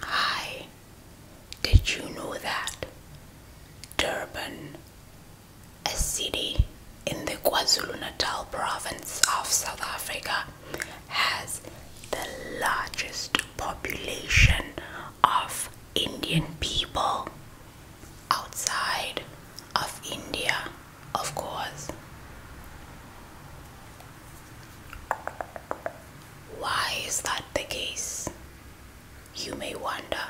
Hi, did you know that Durban, a city in the KwaZulu Natal province of South Africa, has the largest population of Indian people outside of India? Of course. Why is that the case? You may wonder.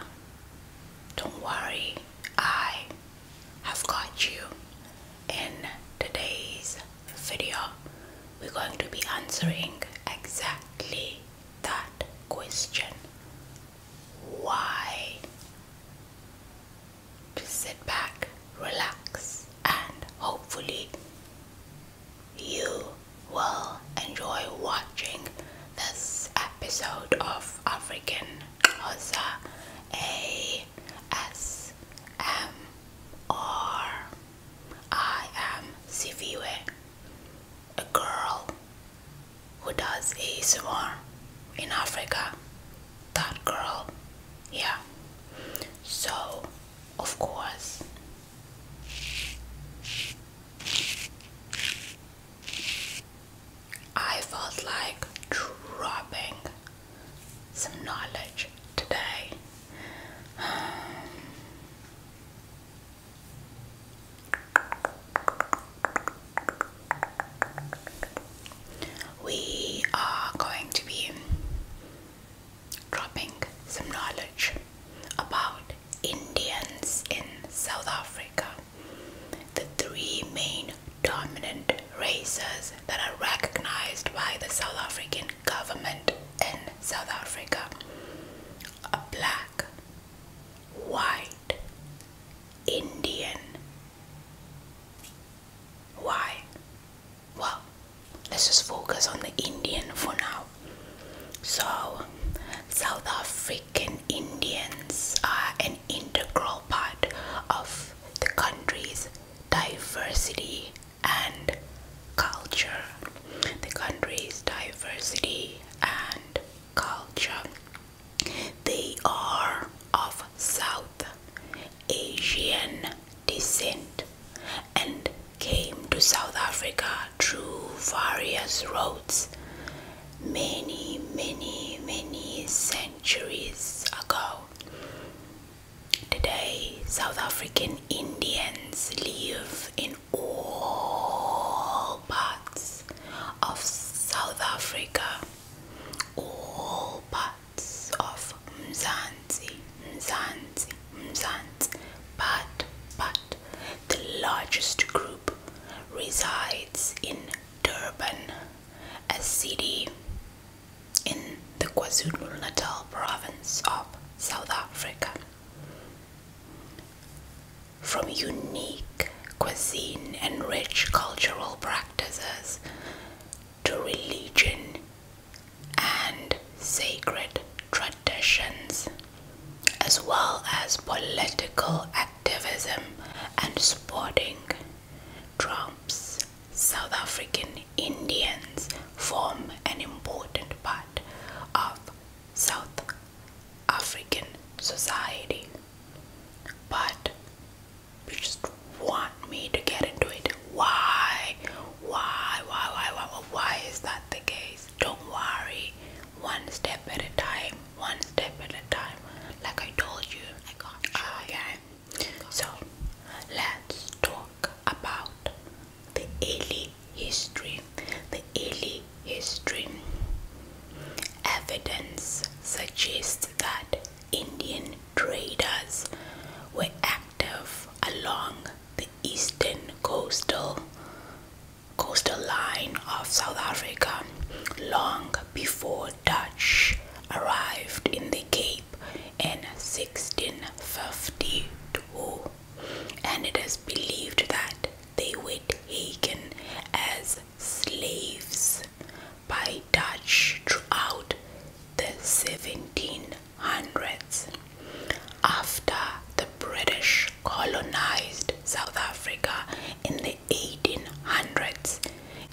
Don't worry, I have got you. In today's video, we're going to be answering exactly that question. Why? Just sit back, relax, and hopefully, you will enjoy watching this episode of African Hosa A S M R. I am Siviwe, a girl who does ASMR in Africa that girl yeah so of course I felt like dropping some knowledge today we are going to be dropping some knowledge about Indians in South Africa, the three main dominant races that are recognized by the South African government in South Africa are black, white, Indian. Why? well, let's just focus on the Indian for now. So, South African Indians are an integral part of the country's diversity and culture. The country's diversity and culture. They are of South Asian descent and came to South Africa through various roads many, many, many centuries ago. Today, South African Indians live in all parts of South Africa. All parts of Mzanzi, Mzanzi, Mzanzi, but, but the largest group resides in Durban, a city in the KwaZulu-Natal province of South Africa. From unique cuisine and rich cultural practices to religion and sacred traditions, as well as political activism and sporting. Trumps, South African Indians form an important part of South African society, but you just want me to get into it. Why? Why? Why? Why? Why? Why is that the case? Don't worry. One step at a time. One step at a time. Like I told you. I got you. yeah. So let's talk about the early history. The early history. Evidence suggests that Indian traders were active along the eastern coastal coastal line of South Africa long before Dutch arrived in the Cape in 1652 and it is believed that they were taken as slaves by Dutch throughout the 1700s. After the British colonized South Africa in the 1800s,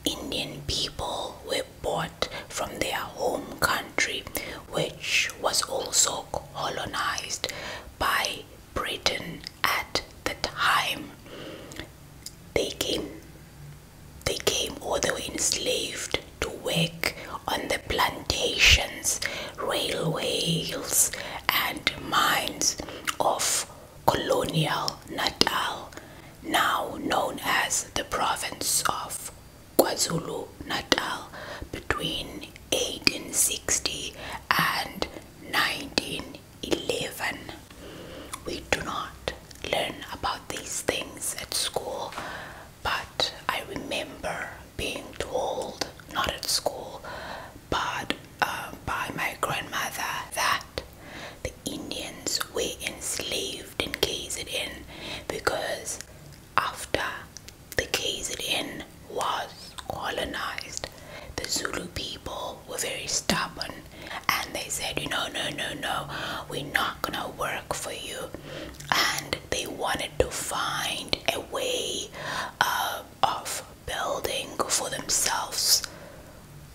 Indian people were bought from their home country, which was also colonized by Britain at the time. They came they came all the way enslaved to work on the plantations, railways, and mines of colonial Natal, now known as the province of KwaZulu Natal, between 1860 and 1911. We do not learn about these things at school, but I remember being told, not at school, but uh, by my grandmother, that the Indians were enslaved in KZN because after the KZN was colonized, the Zulu people were very stubborn and they said you know no no no we're not gonna work for you and they wanted to find a way uh, of building for themselves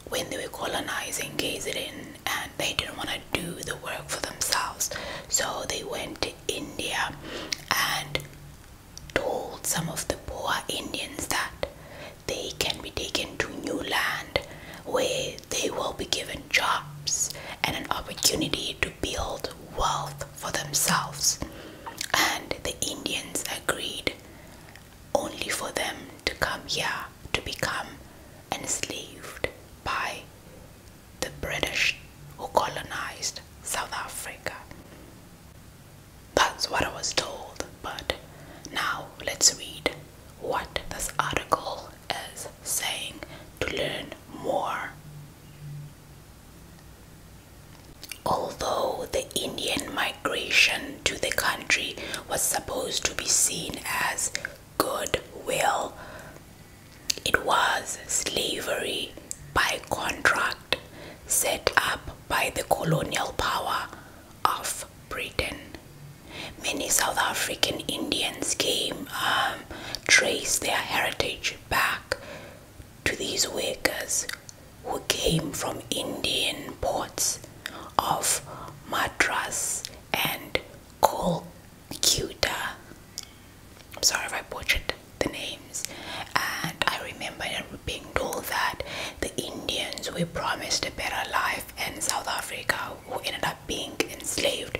when they were colonizing KZN and they didn't want to do the work for themselves so they went to India and told some of the poor Indians that they can be taken to new land where they will be given jobs and an opportunity to build wealth for themselves. And the Indians agreed only for them to come here to become enslaved by the British who colonized South Africa. That's what I was told, but now let's read what this article is saying to learn more. Although the Indian migration to the country was supposed to be seen as goodwill, it was slavery by contract set up by the colonial power of Britain. Many South African Indians came um, trace their heritage back to these workers who came from Indian ports of Madras and Kolkata. I'm sorry if I butchered the names. And I remember being told that the Indians were promised a better life and South Africa who ended up being enslaved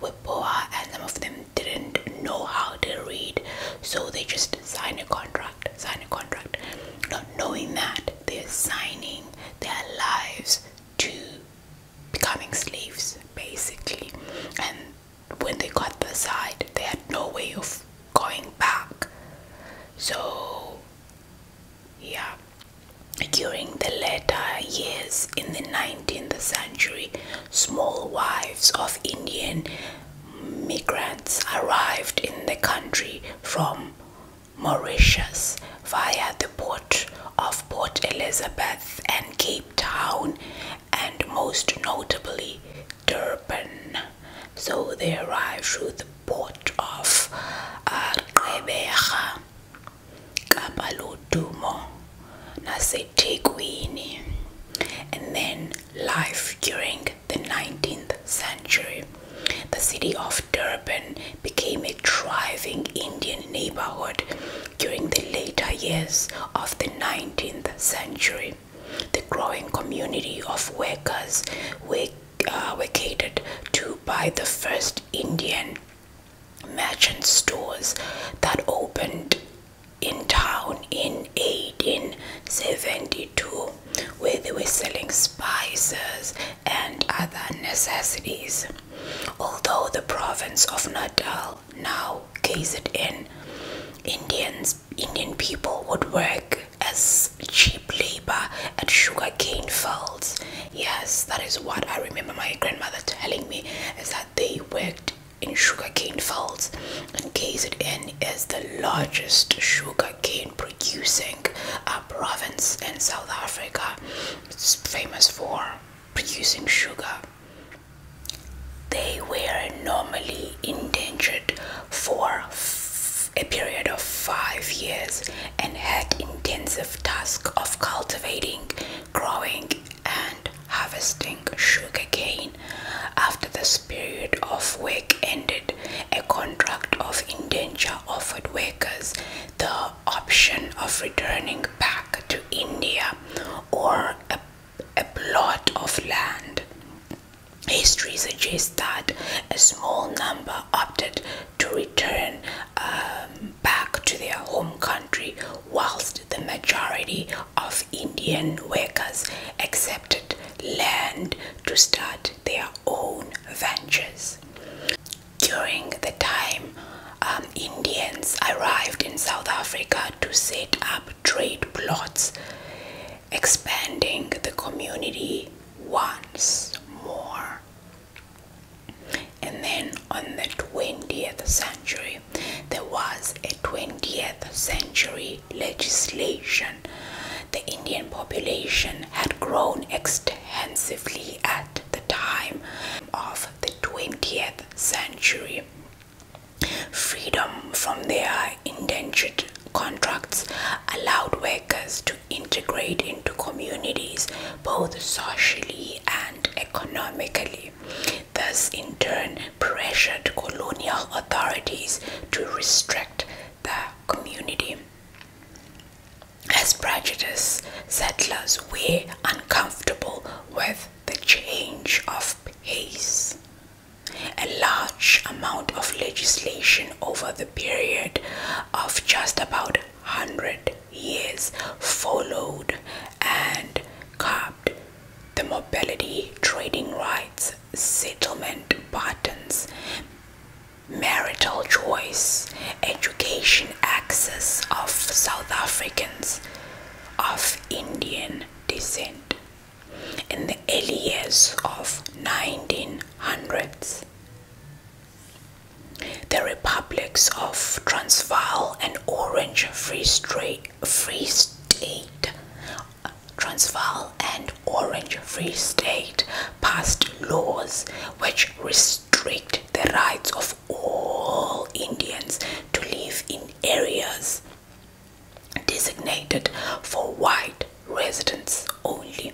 were poor and some of them didn't know how to read so they just sign a contract sign a contract not knowing that they're signing their lives to becoming slaves basically and when they got the side they had no way of going back so yeah during the later years in the 19th century small wives of indian migrants arrived in the country from mauritius via the port of port elizabeth and cape town and most notably durban so they arrived through the port of Gqeberha uh, kabaludumo naseThekwini and then life during the 19th century the city of Durban became a thriving Indian neighborhood during the later years of the 19th century the growing community of workers uh, were catered to by the first Indian merchant stores that opened in town in 1872 where they were selling spices and other necessities although the province of Natal now KZN Indians Indian people would work as cheap labor at sugarcane fields. Yes, that is what I remember my grandmother telling me is that they worked in sugarcane fields and KZN is the largest sugarcane producing uh, province in South Africa. It's famous for producing sugar. They were normally indentured for a period of five years and had intensive task of cultivating, growing and harvesting sugarcane. After this period of work ended, a contract of indenture offered workers the option of returning back to India or a, a plot of land. History suggests that a small number opted to return um, back to their home country, whilst the majority of Indian workers accepted land to start their own ventures. During the time um, Indians arrived in South Africa to set up trade plots, expanding the community once more. And then on the 20th century, there was a 20th century legislation. The Indian population had grown extensively at the time of the 20th century. Freedom from their indentured contracts allowed workers to integrate into communities both socially and economically. Thus, in turn, pressured colonial authorities to restrict the community. As prejudice settlers were uncomfortable with the change of pace, a large amount of legislation over the period of just about 100 years followed and carved the mobility, trading rights, settlement patterns, marital choice, education access of South Africans of Indian descent in the early years of 1900s. The republics of Transvaal and Orange Free, State Transvaal and Orange Free State passed laws which restrict the rights of all Indians to live in areas designated for white residents only.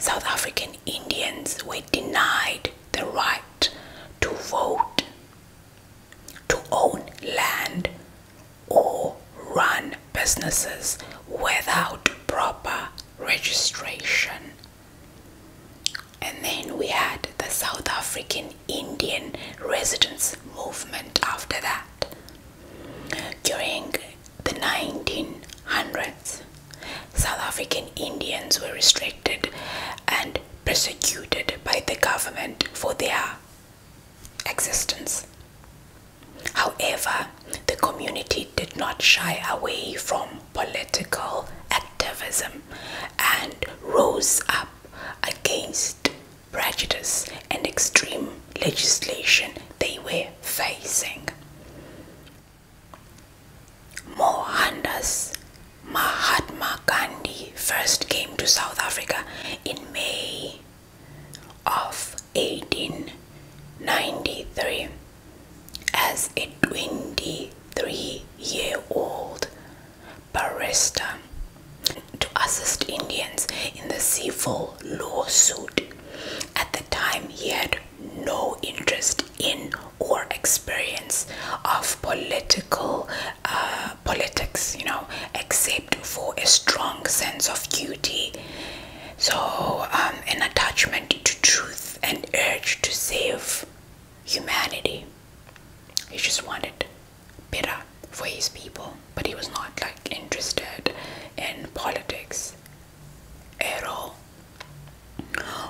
South African Indians were denied the right to vote, to own land, or run businesses without proper registration. And then we had the South African Indian Residents Movement after that. During the 1900s, South African Indians were restricted and persecuted by the government for their existence. However, the community did not shy away from political activism and rose up against prejudice and extreme legislation they were facing. Mohandas Mahatma Gandhi first came to South Africa in May of 1893 as a 23 year old barrister to assist Indians in the civil lawsuit at the time, he had no interest in or experience of political uh, politics, you know, except for a strong sense of duty. So, um, an attachment to truth and urge to save humanity. He just wanted better for his people, but he was not like interested in politics at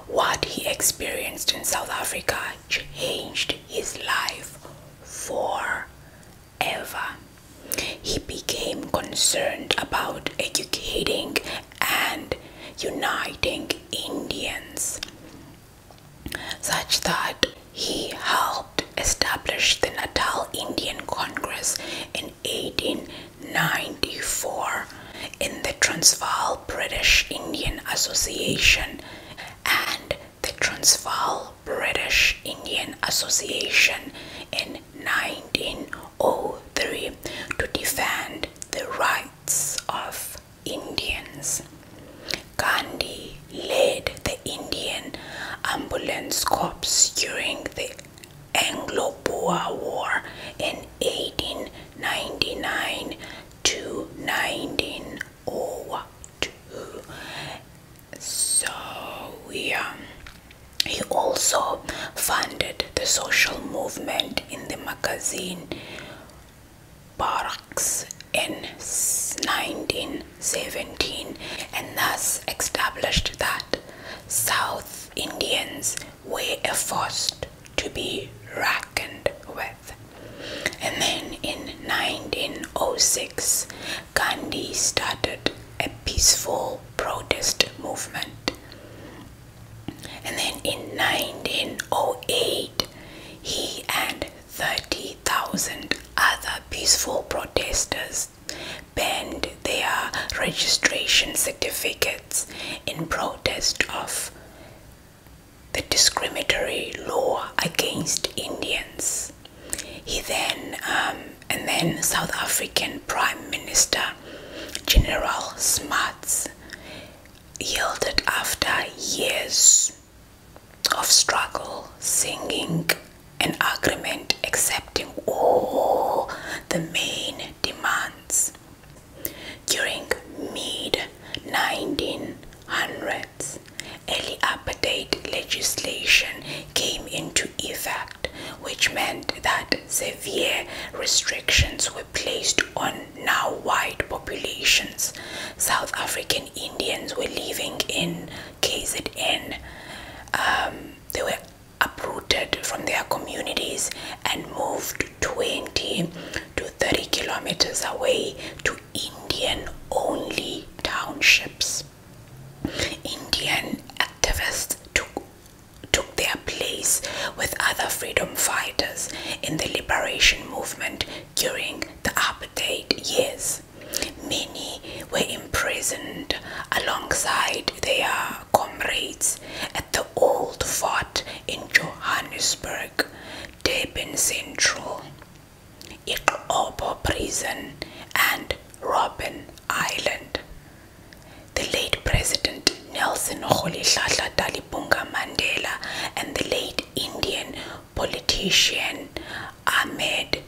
What he experienced in South Africa changed his life forever. He became concerned about educating and uniting Indians, such that he helped establish the Natal Indian Congress in 1894 in the Transvaal British Indian Association and the Transvaal British Indian Association in 1903 to defend the rights of Indians. Gandhi led the Indian Ambulance Corps during the Anglo-Boer War in 1899 to 1902. So yeah, he also funded the social movement in the magazine Barracks in 1917 and thus established that South Indians were a force to be reckoned with. And then in 1906, Gandhi started a peaceful protest movement. And then in 1908, he and 30,000 other peaceful protesters banned their registration certificates in protest of the discriminatory law against Indians. He then um, and then South African Prime Minister General Smuts yielded after years of struggle, singing an agreement accepting all the main demands. During mid 1900s, early apartheid legislation came into effect, which meant that severe restrictions were placed on now white populations. South African Indians were living in KZN. Um, they were uprooted from their communities and moved 20 to 30 kilometers away to Indian only townships. Indian activists took, took their place with other freedom fighters in the liberation movement during the apartheid years. Many were imprisoned alongside with their comrades at the old fort in Johannesburg, Durban Central, Ikobo Prison, and Robben Island. The late President Nelson Rolihlahla Dalibunga Mandela and the late Indian politician Ahmed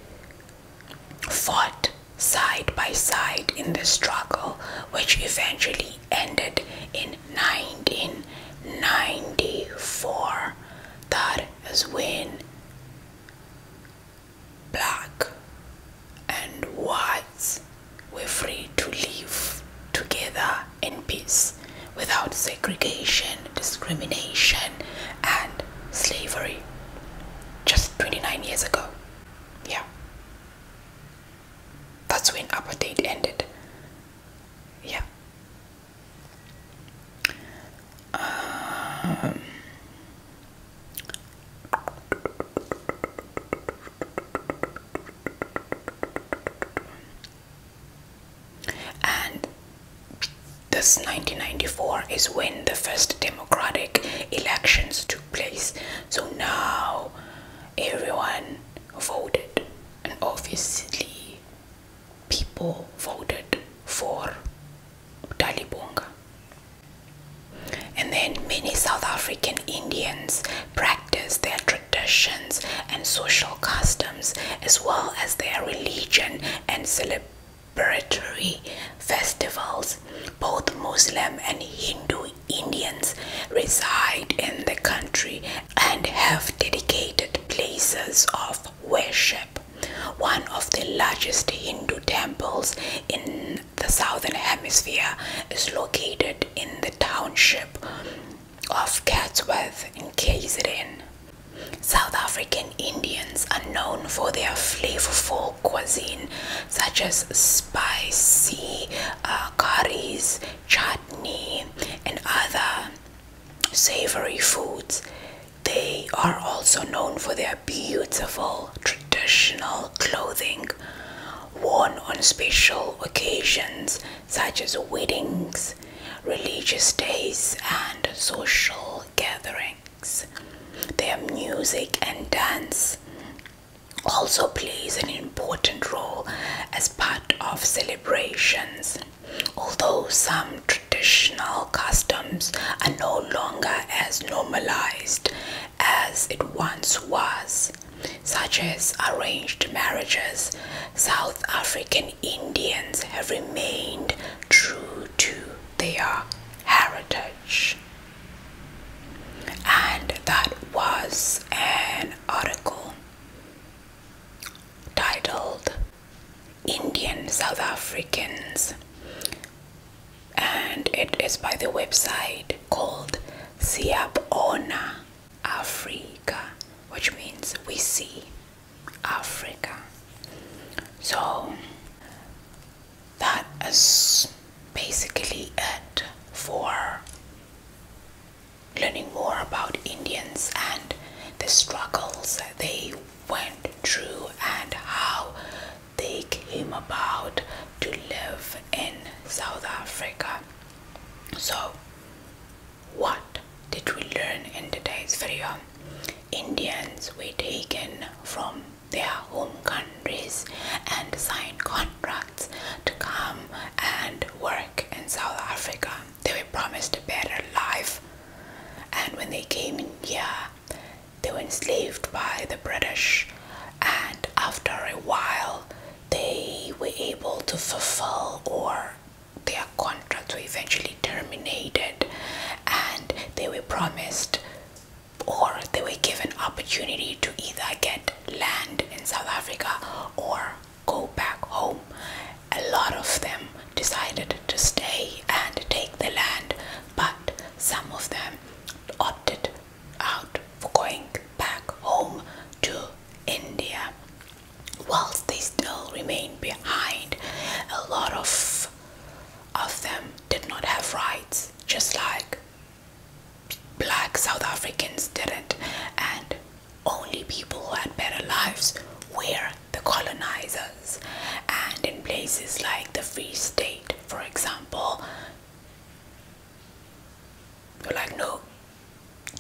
fought side by side in the struggle, which eventually ended in 1994. That is when black and whites were free to live together in peace without segregation, discrimination, and slavery just 29 years ago yeah. That's when apartheid ended. Yeah. Um, and this 1994 is when the first demo democratic elections took place. So now everyone voted, and obviously, people voted for Dalibonga. And then many South African Indians practice their traditions and social customs as well as their religion and celebrations celebratory festivals. Both Muslim and Hindu Indians reside in the country and have dedicated places of worship. One of the largest Hindu temples in the southern hemisphere is located in the township of Chatsworth in KZN. South African. Indians are known for their flavorful cuisine, such as spicy uh, curries, chutney, and other savory foods. They are also known for their beautiful traditional clothing worn on special occasions such as weddings, religious days, and social gatherings their music and dance also plays an important role as part of celebrations. Although some traditional customs are no longer as normalized as it once was, such as arranged marriages, South African Indians have remained true to their heritage. And that was an article titled Indian South Africans. And it is by the website called "Siapona Africa, which means we see Africa. So that is basically it for learning more about Indians and the struggles they went through and how they came about to live in South Africa. So, what did we learn in today's video? Indians were taken from their home countries and signed contracts to come and work in South Africa. They were promised a better life, and when they came in here, they were enslaved by the British. And after a while, they were able to fulfill or their contracts were eventually terminated, and they were promised or they were given opportunity to either get land in South Africa or go back home. A lot of them decided to stay and take the land, but some of them opted out for going back home to India. Whilst they still remain behind, a lot of of them did not have rights, just like black South Africans didn't, and only people who had better lives were the colonizers. And in places like the Free State, for example, you're like, no,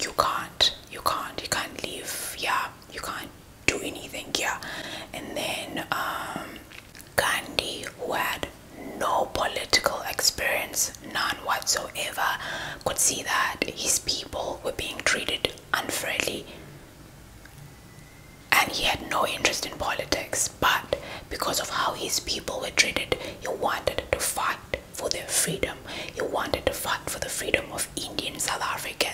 you can't, you can't, you can't leave, yeah, you can't do anything, yeah. And then um, Gandhi, who had no political experience, none whatsoever, could see that his people were being treated unfairly and he had no interest in politics. But because of how his people were treated, he wanted to fight for their freedom. He wanted to fight for the freedom of Indian South Africa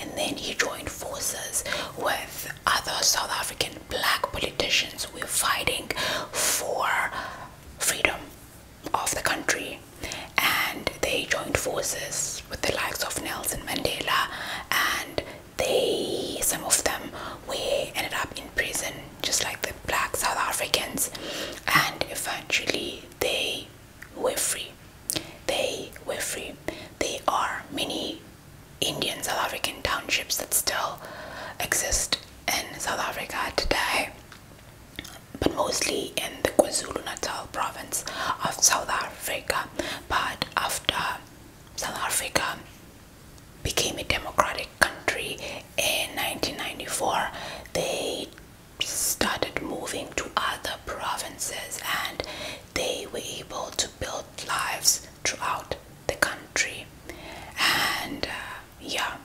and then he joined forces with other South African black politicians who were fighting for freedom of the country. And they joined forces with the likes of Nelson Mandela, and they some of them were ended up in prison, just like the black South Africans, and eventually they were free. They were free. There are many Indian South African townships that still exist in South Africa today, but mostly in the KwaZulu Natal province of South Africa. But after South Africa became a democratic country in 1994, they started moving to other provinces and they were able to build lives throughout the country and uh, yeah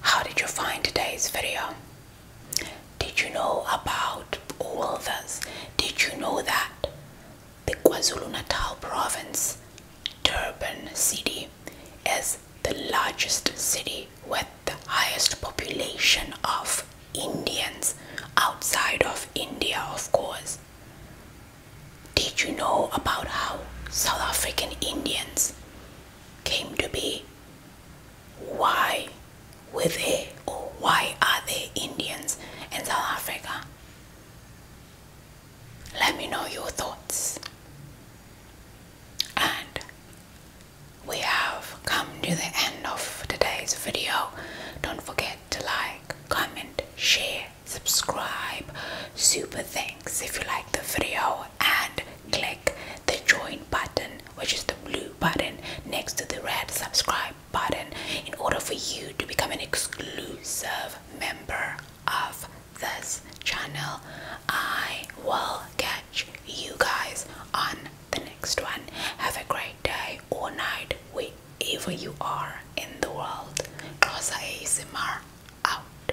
how did you find today's video did you know about all this did you know that the KwaZulu-Natal province Durban city is the largest city with the highest population of Indians outside of India, of course. Did you know about how South African Indians came to be? Why were they or why are they Indians in South Africa? Let me know your thoughts. And we have come to the end of today's video. Don't forget to like, comment, share, subscribe, super thanks if you like the video, and click the join button, which is the blue button next to the red subscribe button, in order for you to become an exclusive member of this channel. I will catch you guys on the next one. Have a great day or night, wherever you are in the world. Rosa ASMR out.